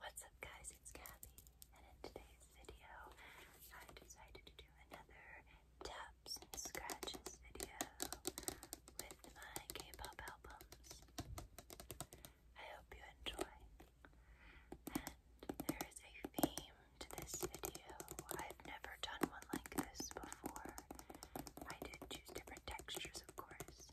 What's up guys, it's Kathy, and in today's video, I decided to do another taps and scratches video with my K-pop albums. I hope you enjoy. And there is a theme to this video. I've never done one like this before. I did choose different textures, of course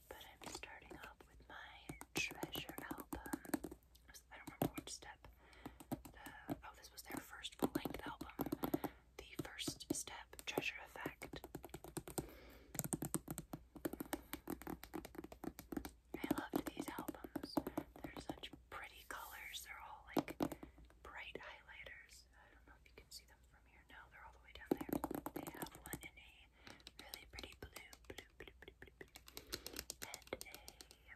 But I'm starting off with my treasure album. I don't remember which step. oh, this was their first full length album. The first step, Treasure Effect. I loved these albums. They're such pretty colors. They're all like bright highlighters. I don't know if you can see them from here. No, they're all the way down there. They have one in a really pretty blue, blue, blue, blue, and a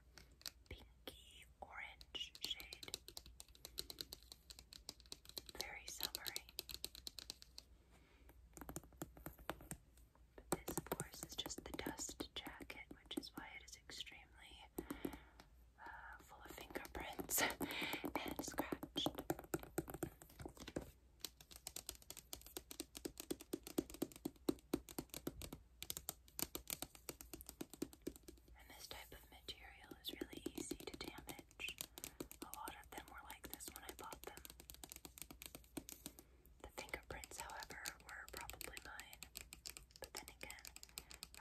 pinky orange shade. Very summery. But this, of course, is just the dust jacket, which is why it is extremely uh, full of fingerprints and scratched this type of material is really easy to damage. A lot of them were like this when I bought them. The fingerprints, however, were probably mine. But then again,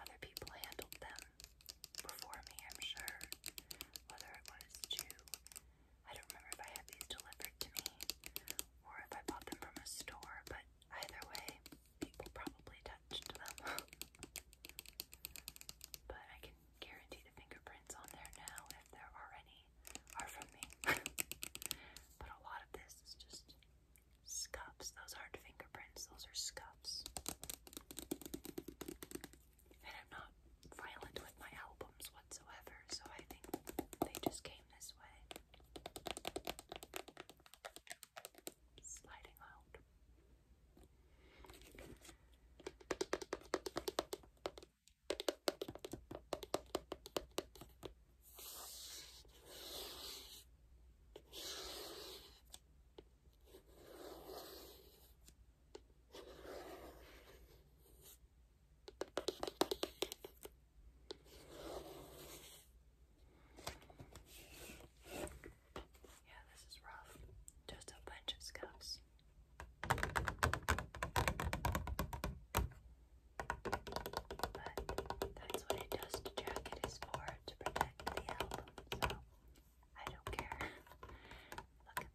other people handled them before me, I'm sure. Whether it was to I don't remember if I had these delivered to me or if I bought them from a store, but either way, people probably touched them. but I can guarantee the fingerprints on there now, if there are any, are from me. but a lot of this is just scuffs. Those aren't fingerprints, those are scuffs and I'm not violent with my albums whatsoever, so I think they just came this way. Sliding out. Yeah, this is rough. Just a bunch of scuffs. But that's what a dust jacket is for, to protect the album, so I don't care. Look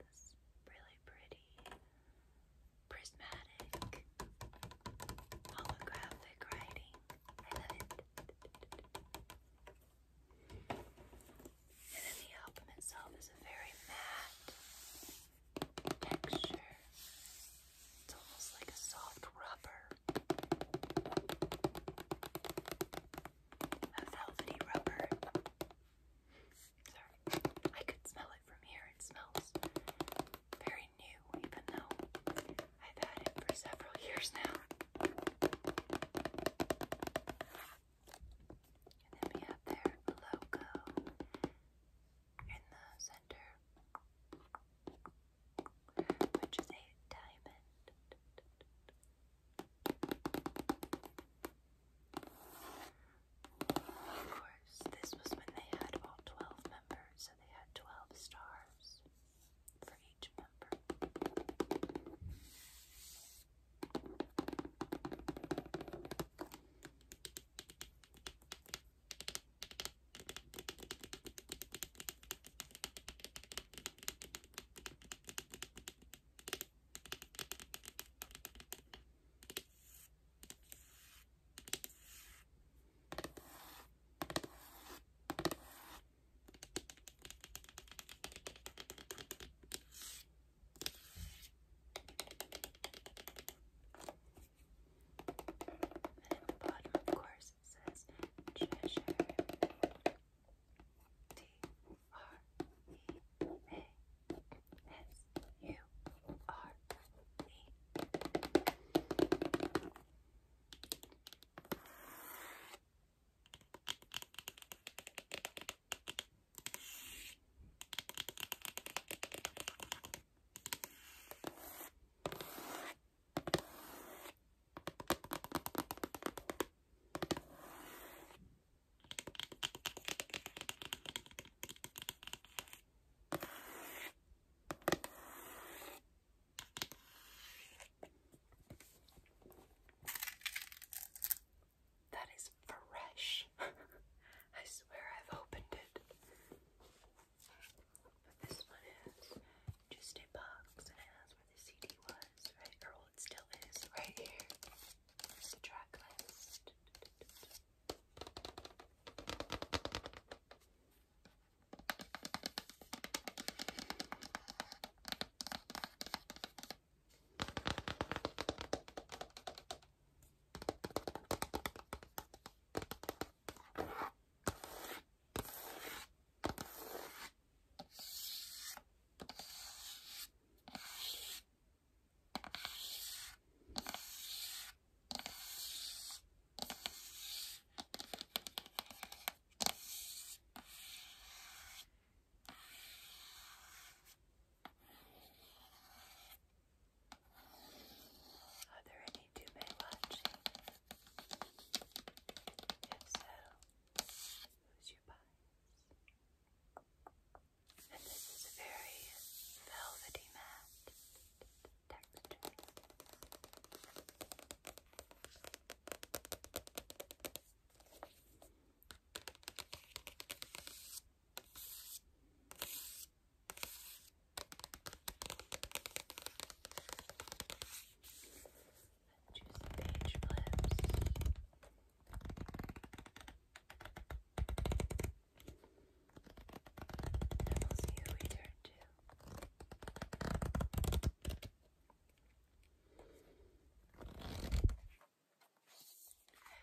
really pretty prismatic holographic writing. I love it. And then the album itself is a very matte texture. It's almost like a soft rubber. A velvety rubber. Sorry. I could smell it from here. It smells very new, even though I've had it for several years now. And then we have their logo in the center, which is a diamond. Of course, this was when they had all 12 members, so they had 12 stars for each member. And at the bottom, of course, it says treasure R E A S U R E. All that is fresh. I swear I've opened it. But this one is just a box and has where the CD was, right? it still is right here. Here's are there any Dume watching? If so, who's your bias? And this is a very velvety matte texture. Choose page flips.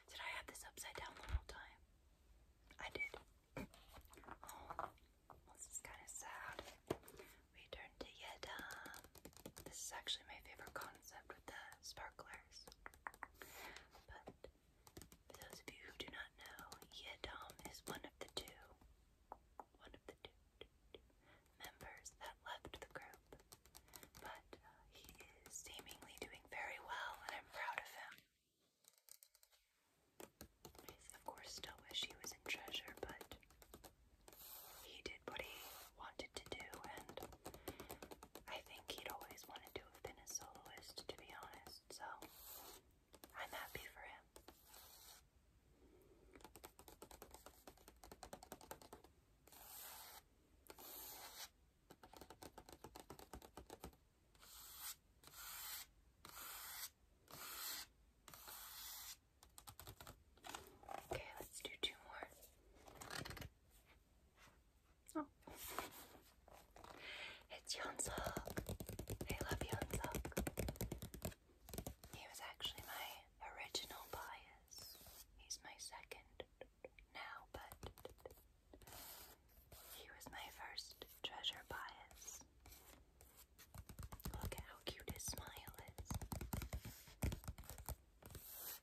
Did I have this upside down the whole time? I did. Oh, this is kind of sad. We turn to Yedam. This is actually my favorite concept the sparklers. But for those of you who do not know, Yeadom is one of the two, one of the two, two, two members that left the group. But uh, he is seemingly doing very well, and I'm proud of him. I, of course, still wish he was in treasure, but he did what wanted to do, and I think he'd always wanted to have been a soloist, to be honest, so I'm happy for him. Okay, let's do two more. Oh. It's Hyunsuk. I love Hyunsuk. He was actually my original bias. He's my second now, but he was my first treasure bias. Look how cute his smile is.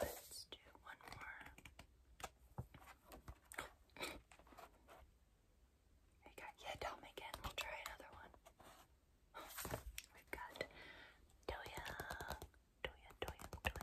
Let's do one more. We got Yedom again. We'll try another one. We've got Doya, Doya, Doya, Doya.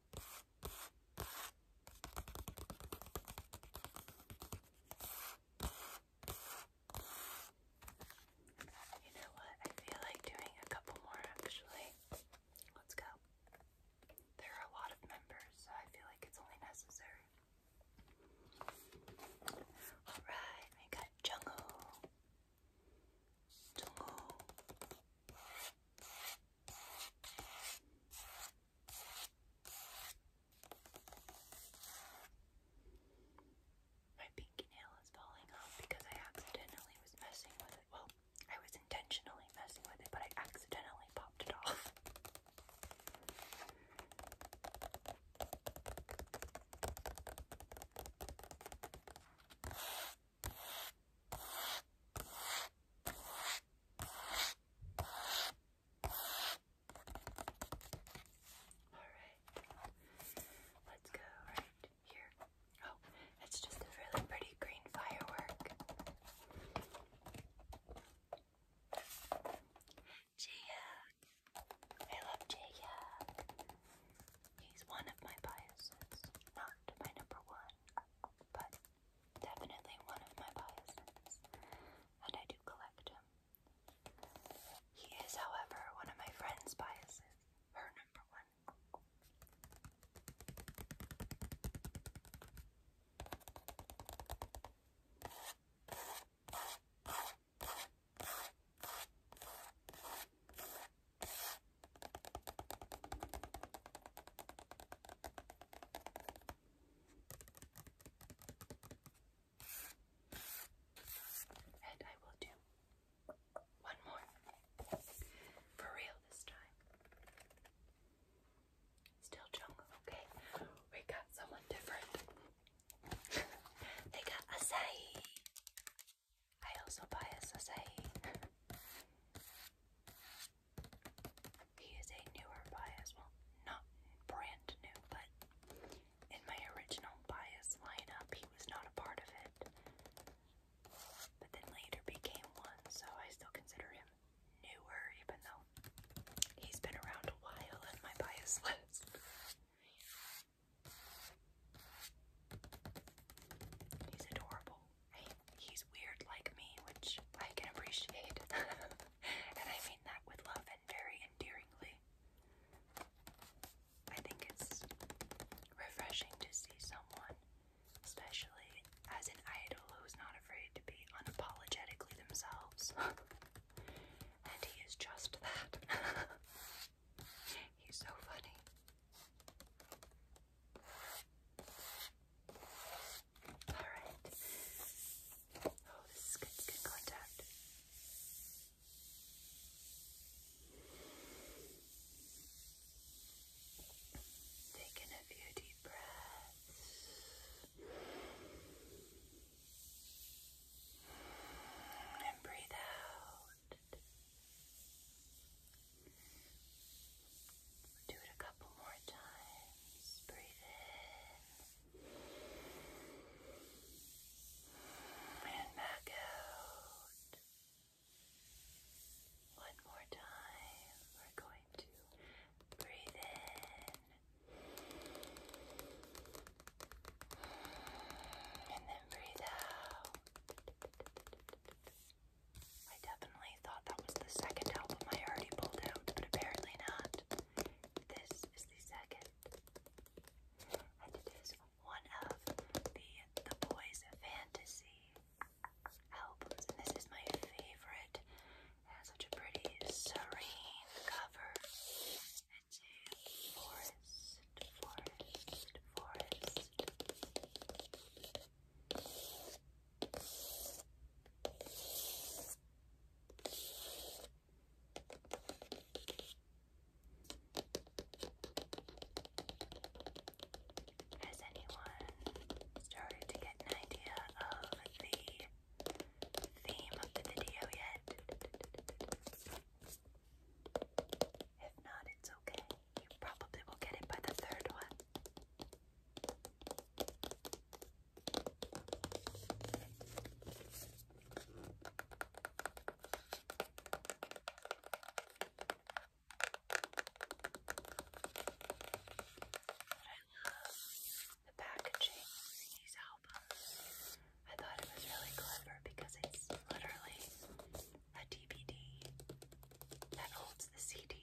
You know what? I feel like doing a couple more actually. Let's go. There are a lot of members, so I feel like it's only necessary. Alright, we got Jungle. Jungle. My pinky nail is falling off because I accidentally was messing with it. Well, I was intentionally messing with it, but I accidentally popped it off. Alright. Let's go right here. Oh, it's just a really pretty green firework. Gia. I love Gia. He's one of my biases. Not my number one, but Definitely one of my biases, and I do collect him. He is, however, one of my friend's biases, her number one. And I will do one more. For real this time. Still jungle, okay? We got someone different. they got acai. I also buy us He is a newer bias. Well, not brand new, but in my original bias lineup, he was not a part of it. But then later became one, so I still consider him newer, even though he's been around a while in my bias list. He's adorable he's weird like me, which I can appreciate. and I mean that with love and very endearingly. I think it's refreshing to see someone, especially as an idol who's not afraid to be unapologetically themselves. and he is just that. He's so funny. Alright. Oh, this is good, good contact. Taking a few deep breaths. And breathe out. Do it a couple more times. Breathe in. And back out. One more time. We're going to breathe in. And then breathe out. I definitely thought that was the second album I already pulled out, but apparently not. This is the second. And it is one of the The Boys Fantasy albums. And this is my favorite. It has such a pretty serene cover. It's a forest, forest, forest. Has anyone started to get an idea of the theme of the video yet? If not, it's okay. You probably will get it by the third one the packaging for these albums. I thought it was really clever because it's literally a DVD that holds the CD.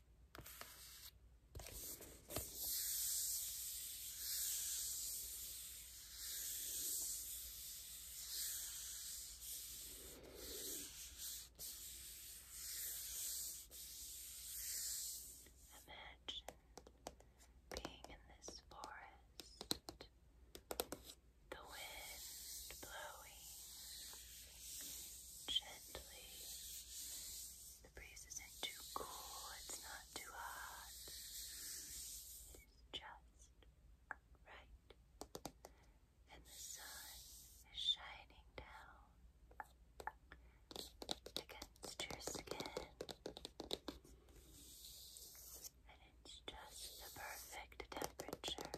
Imagine being in this forest, the wind blowing gently the breeze isn't too cool, it's not too hot. It is just right. And the sun is shining down against your skin. And it's just the perfect temperature.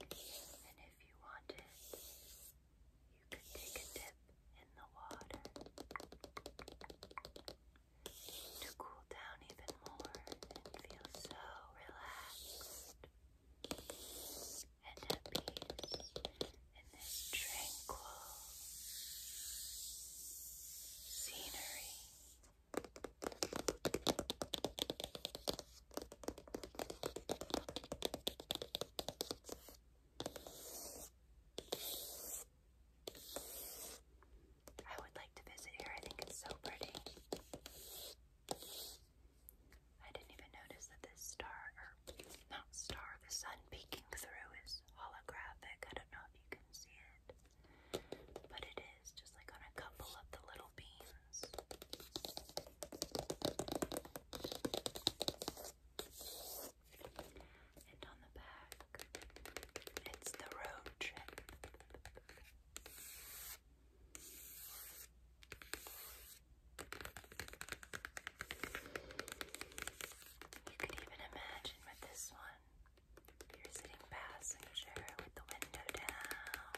And if you wanted, you could take a dip in the water to cool down even more and feel so relaxed and at peace in this tranquil scenery. I would like to visit here. I think it's so pretty. I didn't even notice that this star, not star, the sun peeking through is holographic. I don't know if you can see it, but it is just like on a couple of the little. And on the back, it's the road trip. You could even imagine with this one, you're sitting passenger with the window down,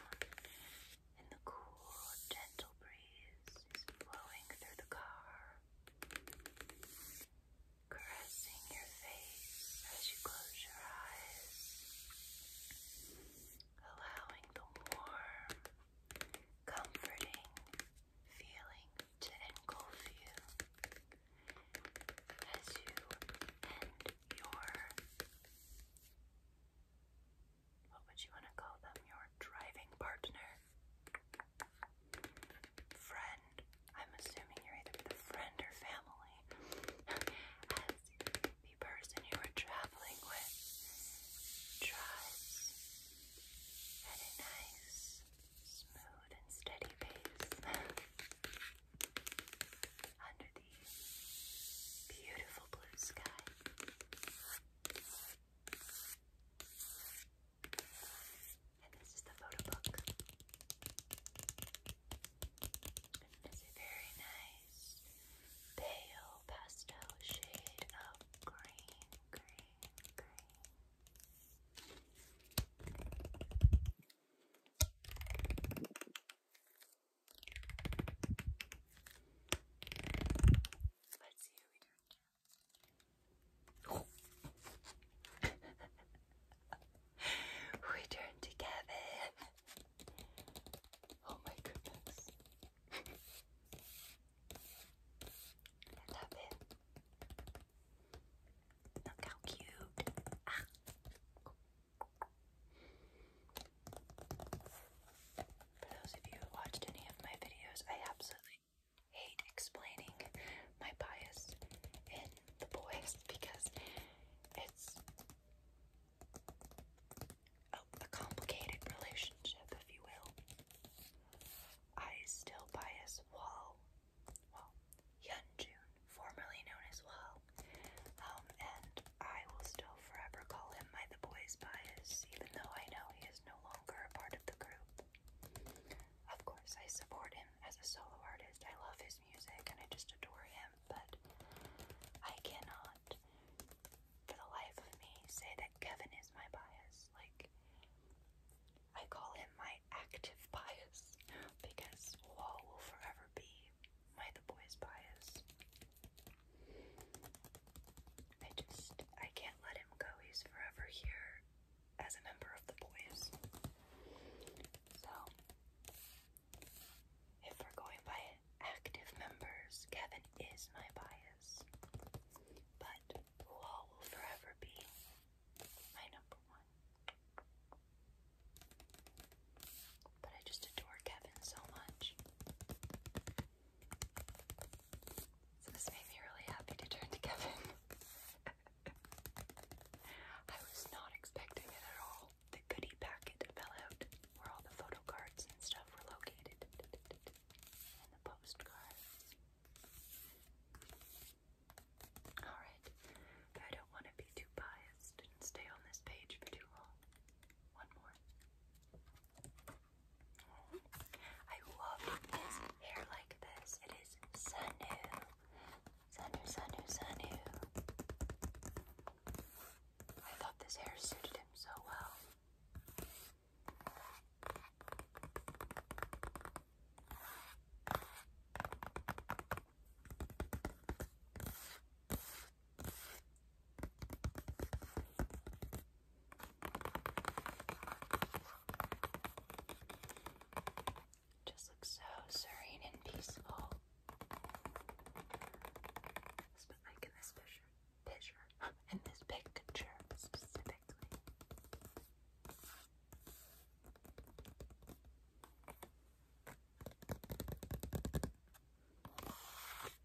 and the cool, gentle breeze is blowing through the car, caressing your face as you close your eyes, allowing the warm, comforting feeling to engulf you as you end your what would you want to call them? Your driving partner? Friend? I'm assuming you're either with a friend or family. As the person you are traveling with tries at a nice, smooth, and steady pace under the Beautiful blue sky. And this is the photo book. it's a very nice pale pastel shade of green. Let's see we turn to. we turn to Oh my goodness. I love it. Look how cute. Ah. For those of you who watched any of my videos, I absolutely hate explaining my bias in the boys because it's a, complicated relationship, if you will. I still bias Wall, well, Yunjun, formerly known as Wall, um, and I will still forever call him my The Boys Bias, even though I know he is no longer a part of the group. Of course, I support him as a solo artist. I love his music and I just adore him, but I cannot, for the life of me, say that Kevin is my bias. Like, I call him my active bias because Wall will forever be my The Boys bias. I just, I can't let him go. He's forever here as a member of the boys. So, if we're going by active members, Kevin is my bias. But Wall will forever be my number one. But I just adore Kevin so much. So this made me really happy to turn to Kevin. I was not expecting it at all. The goodie packet fell out where all the photo cards and stuff were located. And the postcards. Alright, I don't want to be too biased and stay on this page for too long. One more. I love this hair like this. It is Sanu. Sanu, Sanu, Sanu. I thought this hair suited him so well. Just looks so serene and peaceful. it in this picture specifically.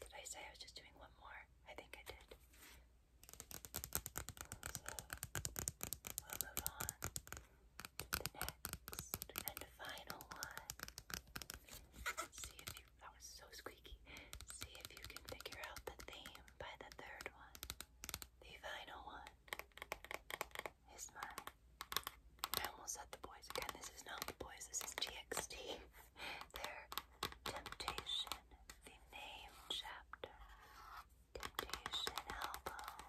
Did I say I was just doing one more? I think I did. we'll move on to the next and final one. See if you that was so squeaky. See if you can figure out the theme by the third one. The final one is mine. I almost said the boys again. This is not the boys, this is GXT their temptation, the name chapter, temptation elbow.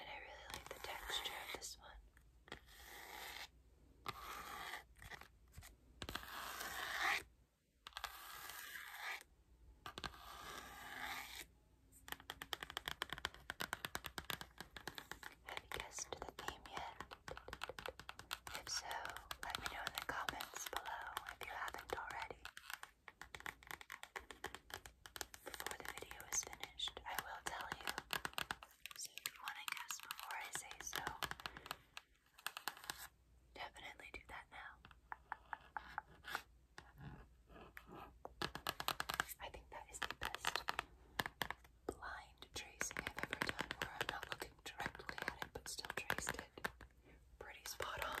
And I really like the texture of this one. Have you guessed the theme yet? If so, let me know in the comments below if you haven't already. Before the video is finished, I will tell you. So if you want to guess before I say so, definitely do that now. I think that is the best blind tracing I've ever done where I'm not looking directly at it but still traced it. Pretty spot on.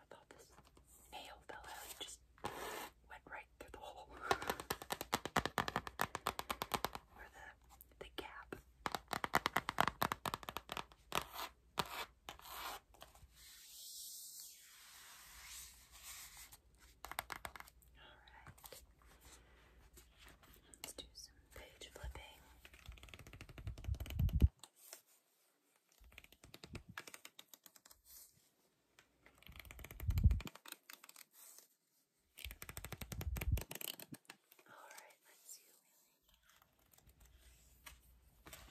I thought this nail fell out and just went right through the hole. Or the, the gap. Alright. Let's do some page flipping. Alright, let's see who we like.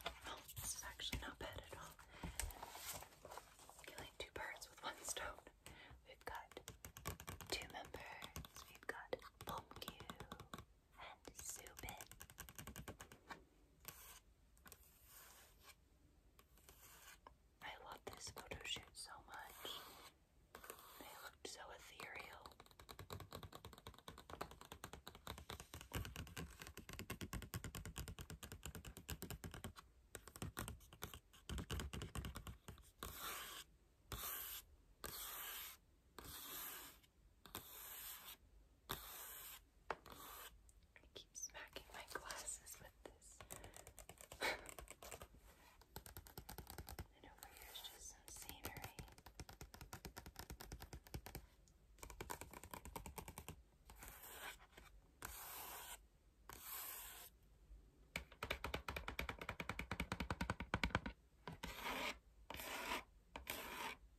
Oh, this is actually not bad at all. Killing two birds with one stone. We've got two members. We've got Pumpkin and zoom in. I love this photo shoot so much. They looked so ethereal. I keep smacking my glasses with this. and over here is just some scenery.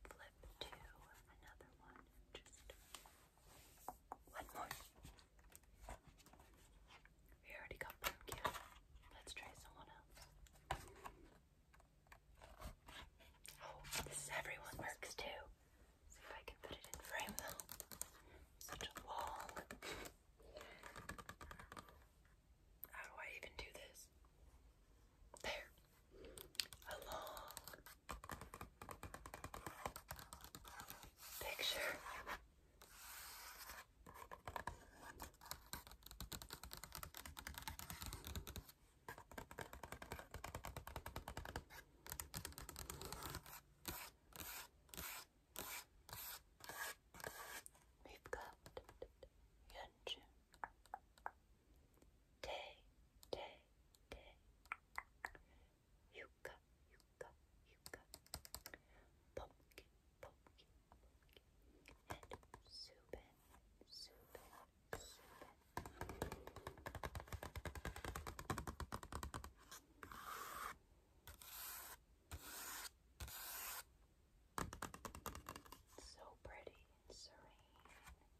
flip to another one. Just one more. We already got pumpkin. Let's try someone else. Oh, this everyone works too. See if I can put it in frame though. Such a long. How do I even do this? There a long picture. We've got Yunjin, day, day, day. Yuka, yuka, yuka. Pumpkin, pumpkin, pumpkin. And Subin, Subin, Subin. So pretty and serene.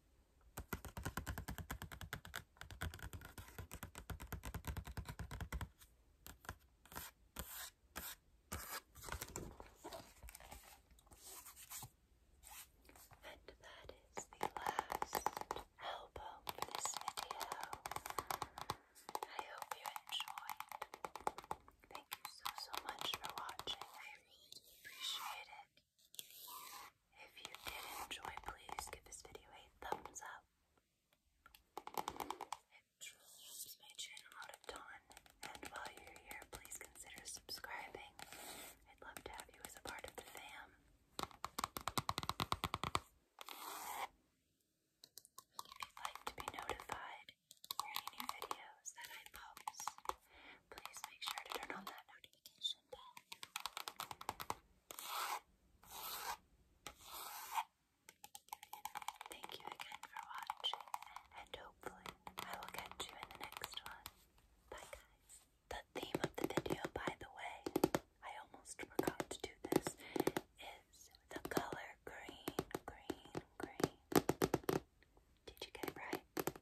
And that is the last album for this video. I hope you enjoyed. Thank you so, so much for watching. I really appreciate it. If you did enjoy, please give this video a thumbs up. It truly helps my channel out a ton. And while you're here, please consider subscribing. I'd love to have you as a part of the fam. If you'd like to be notified for any new videos that I post, please make sure to turn on that notification Thank you again for watching and hopefully I will catch you in the next one. Bye guys. The theme of the video by the way, I almost forgot to do this, is the color green, green, green. Did you get it right?